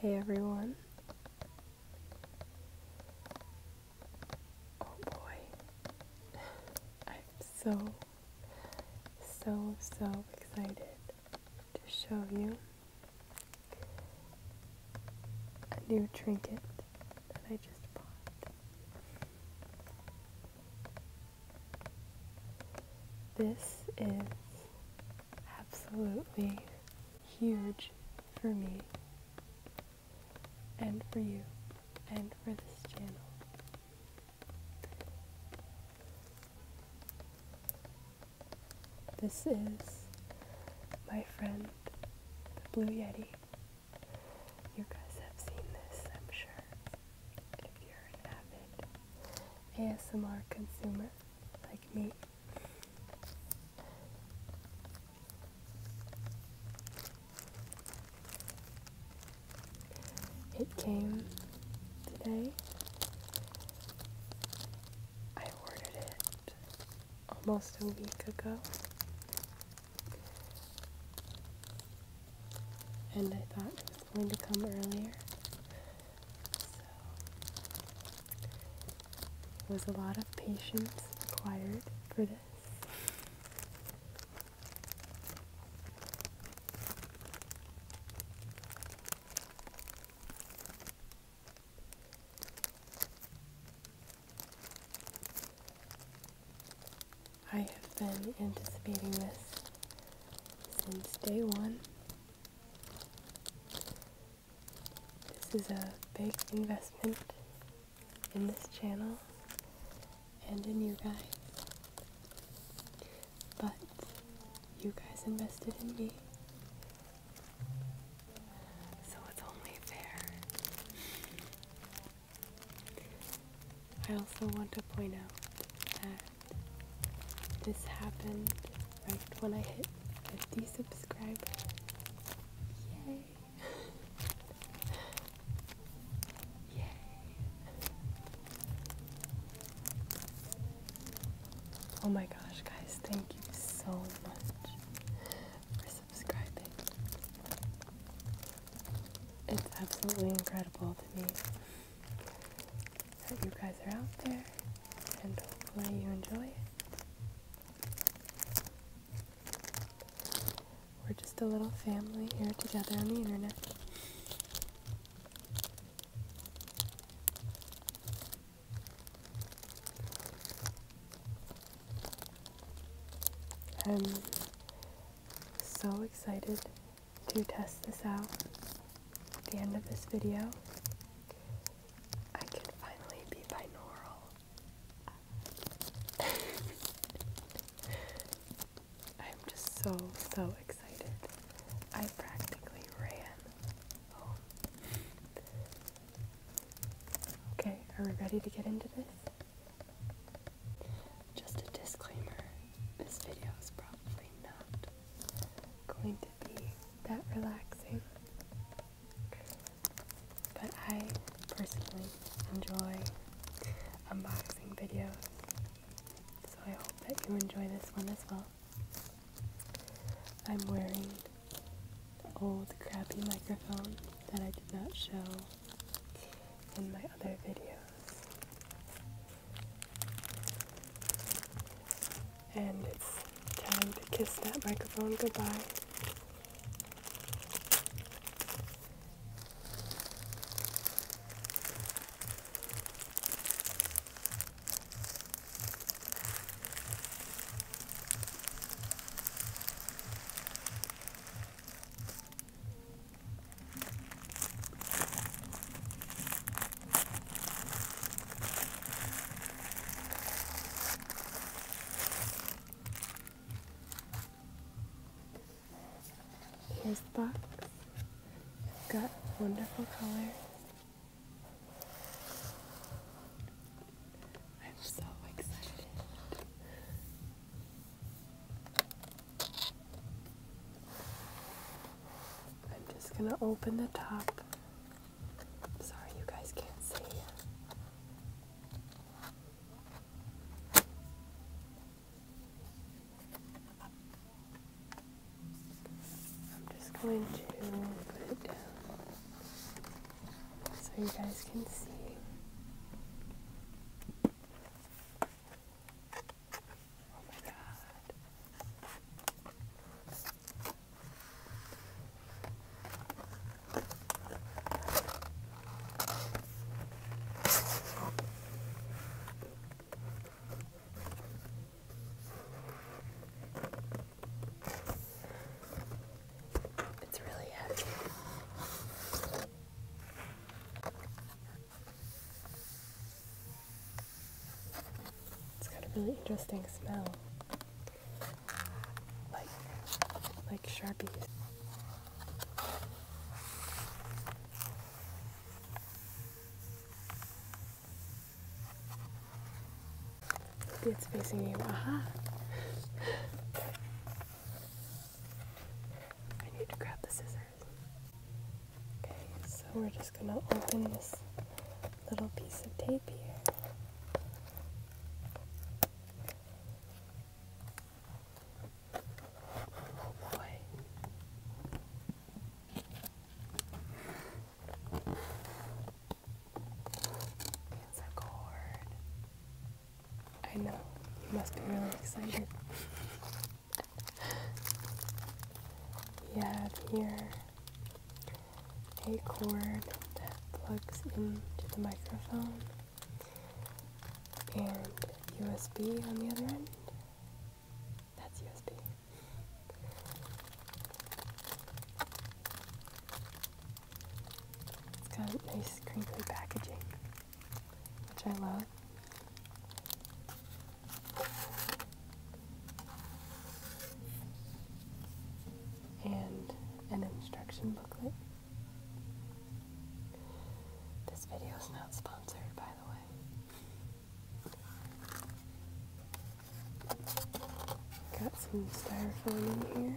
Hey everyone. Oh boy. I'm so, so, so excited to show you a new trinket that I just bought. This is absolutely huge for me and for you and for this channel. This is my friend, the Blue Yeti. You guys have seen this, I'm sure. If you're an avid ASMR consumer like me, it came today. I ordered it almost a week ago and I thought it was going to come earlier. So it was a lot of patience required for this. I have been anticipating this since day one. This is a big investment in this channel and in you guys. But you guys invested in me. So it's only fair I also want to point out that this happened right when I hit 50 subscribers. Yay! Yay! Oh my gosh, guys, thank you so much for subscribing. It's absolutely incredible to me that you guys are out there and hopefully you enjoy it. We're just a little family here together on the internet. I'm so excited to test this out at the end of this video. I can finally be binaural. I'm just so, so excited. I practically ran home. Okay, are we ready to get into this? Just a disclaimer this video is probably not going to be that relaxing, but I personally enjoy unboxing videos, so I hope that you enjoy this one as well. I'm wearing the old crappy microphone that I did not show in my other video. And it's time to kiss that microphone goodbye. Here's the box. It's got wonderful color. I'm so excited. I'm just going to open the top. Sorry, you guys can't see. I'm just going to put it down so you guys can see. Oh my god. It's really heavy. It's got a really interesting smell. Like like Sharpies. Maybe it's facing Aha! I need to grab the scissors. Okay, so we're just going to open this little piece of tape here. Oh boy. It's a cord. I know. You must be really excited. we have here a cord that plugs into the microphone and USB on the other end. That's USB. It's got nice crinkly packaging, which I love. And an instruction booklet. This video is not sponsored, by the way. Got some styrofoam in here.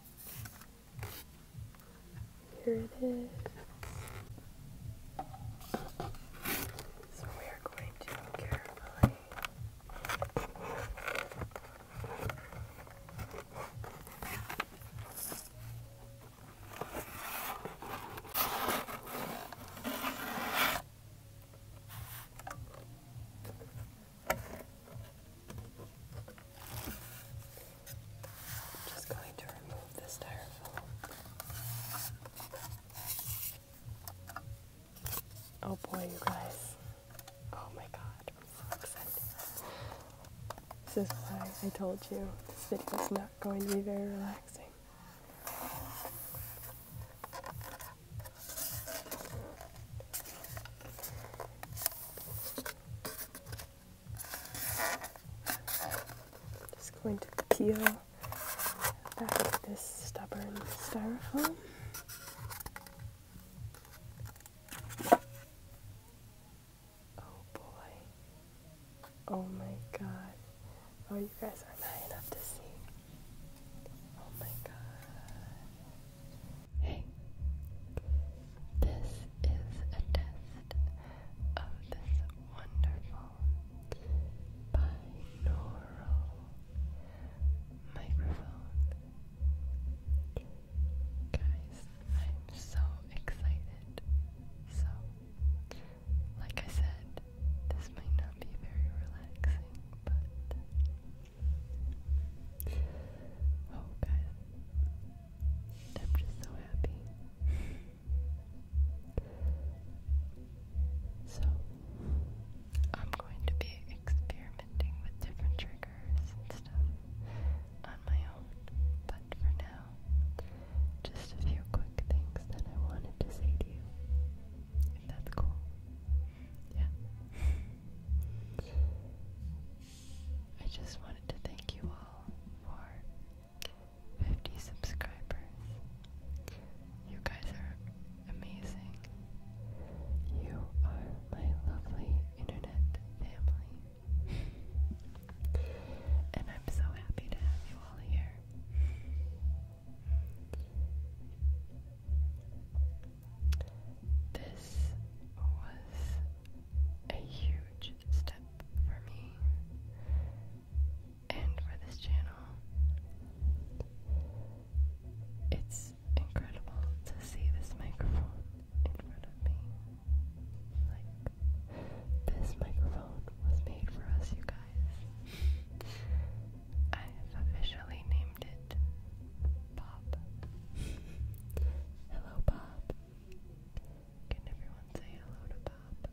Here it is. So we are going to carefully just going to remove the styrofoam. Oh boy, you guys. Oh my god, I'm so excited. This is why I told you this video is not going to be very relaxing. Just going to peel back of this stubborn styrofoam. Oh boy. Oh my god. Oh, you guys aren't high enough to see. Oh my god. Hey, this is a test of this wonderful binaural microphone. Guys, I'm so excited. So, like I said, this might not be very relaxing, but Oh, guys, I'm just so happy. so, I'm going to be experimenting with different triggers and stuff on my own, but for now, just a few quick things that I wanted to say to you. If that's cool. Yeah. I just wanted to thank you all for 50 subscribers. You guys are amazing. You are my lovely internet family. and I'm so happy to have you all here. This was a huge step for me and for this channel. It's incredible to see this microphone in front of me. Like, this microphone was made for us, you guys. I have officially named it Bob. hello, Bob. Can everyone say hello to Bob?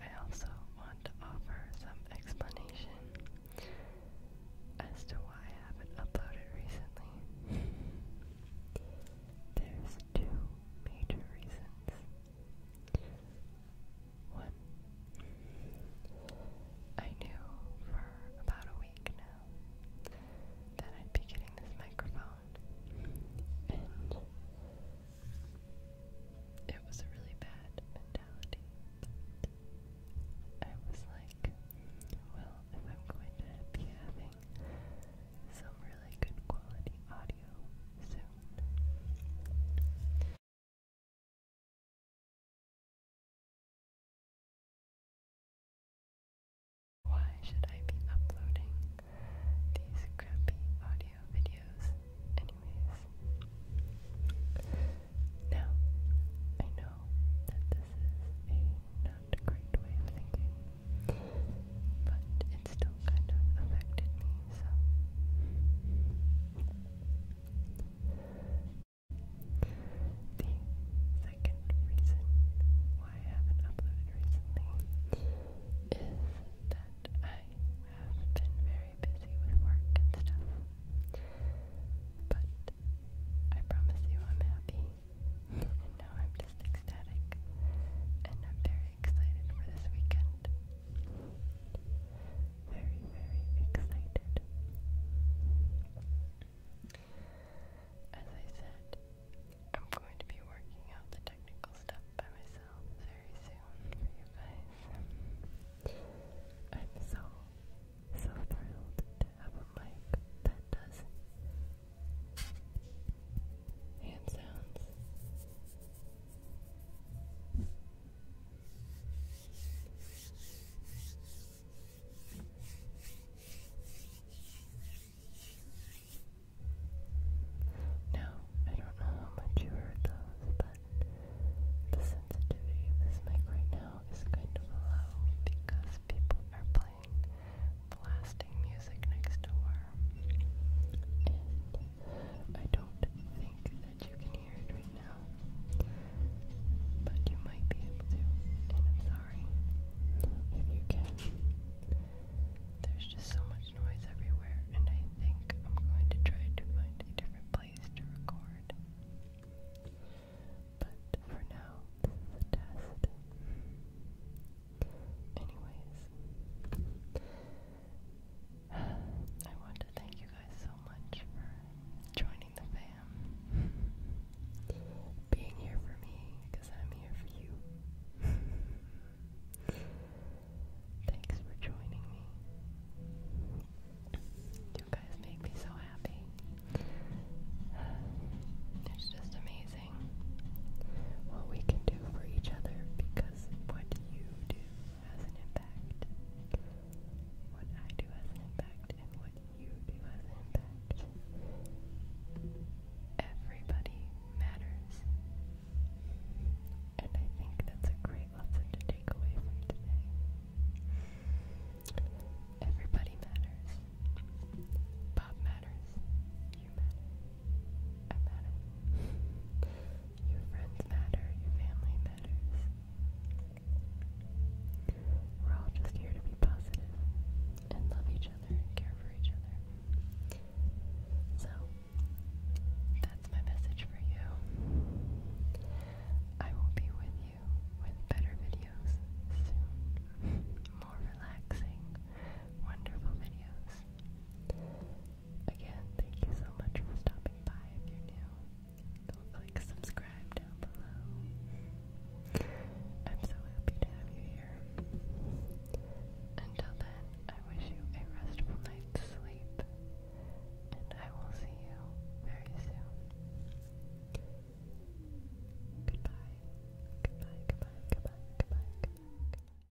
I also want to offer some explanation as to why I haven't uploaded recently. There's two major reasons. I knew for about a week now that I'd be getting this microphone, and it was a really bad mentality. I was like, well, if I'm going to be having some really good quality audio soon, why should I be uploading these crappy audio videos anyways? Now, I know that this is a not great way of thinking, but it still kind of affected me, so the second reason why I haven't uploaded recently is that I have been very busy with work and stuff. But I promise you I'm happy. and now I'm just ecstatic. And I'm very excited for this weekend very, very excited. As I said, I'm going to be working out the technical stuff by myself very soon for you guys. I'm so, so thrilled to have a mic that does hand sounds now, I don't know how much you heard those, but the sensitivity of this mic right now is kind of low because people are playing blasting music next door. And I don't think that you can hear it right now. But you might be able to, and I'm sorry if you can. There's just so much noise everywhere, and I think I'm going to try to find a different place to record. But for now, this is a test. Anyways, I want to thank you guys so much for joining the fam. Being here for me, because I'm here for you. Thanks for joining me. You guys make me so happy. It's just amazing what we can do for each other because what you do has an impact. What I do has an impact, and what you do has an impact. Everybody matters. And I think that's a great lesson to take away from today. Everybody matters. Bob matters. You matter. I matter. Your friends matter, your family matters. We're all just here to be positive and love each other and care for each other. So, that's my message for you. I will be with you with better videos soon. More relaxing, wonderful videos. Again, thank you so much for stopping by. If you're new, do click subscribe down below. I'm so happy to have you here. Until then, I wish you a restful night's sleep, and I will see you very soon. Goodbye. Goodbye, goodbye, goodbye, goodbye, goodbye.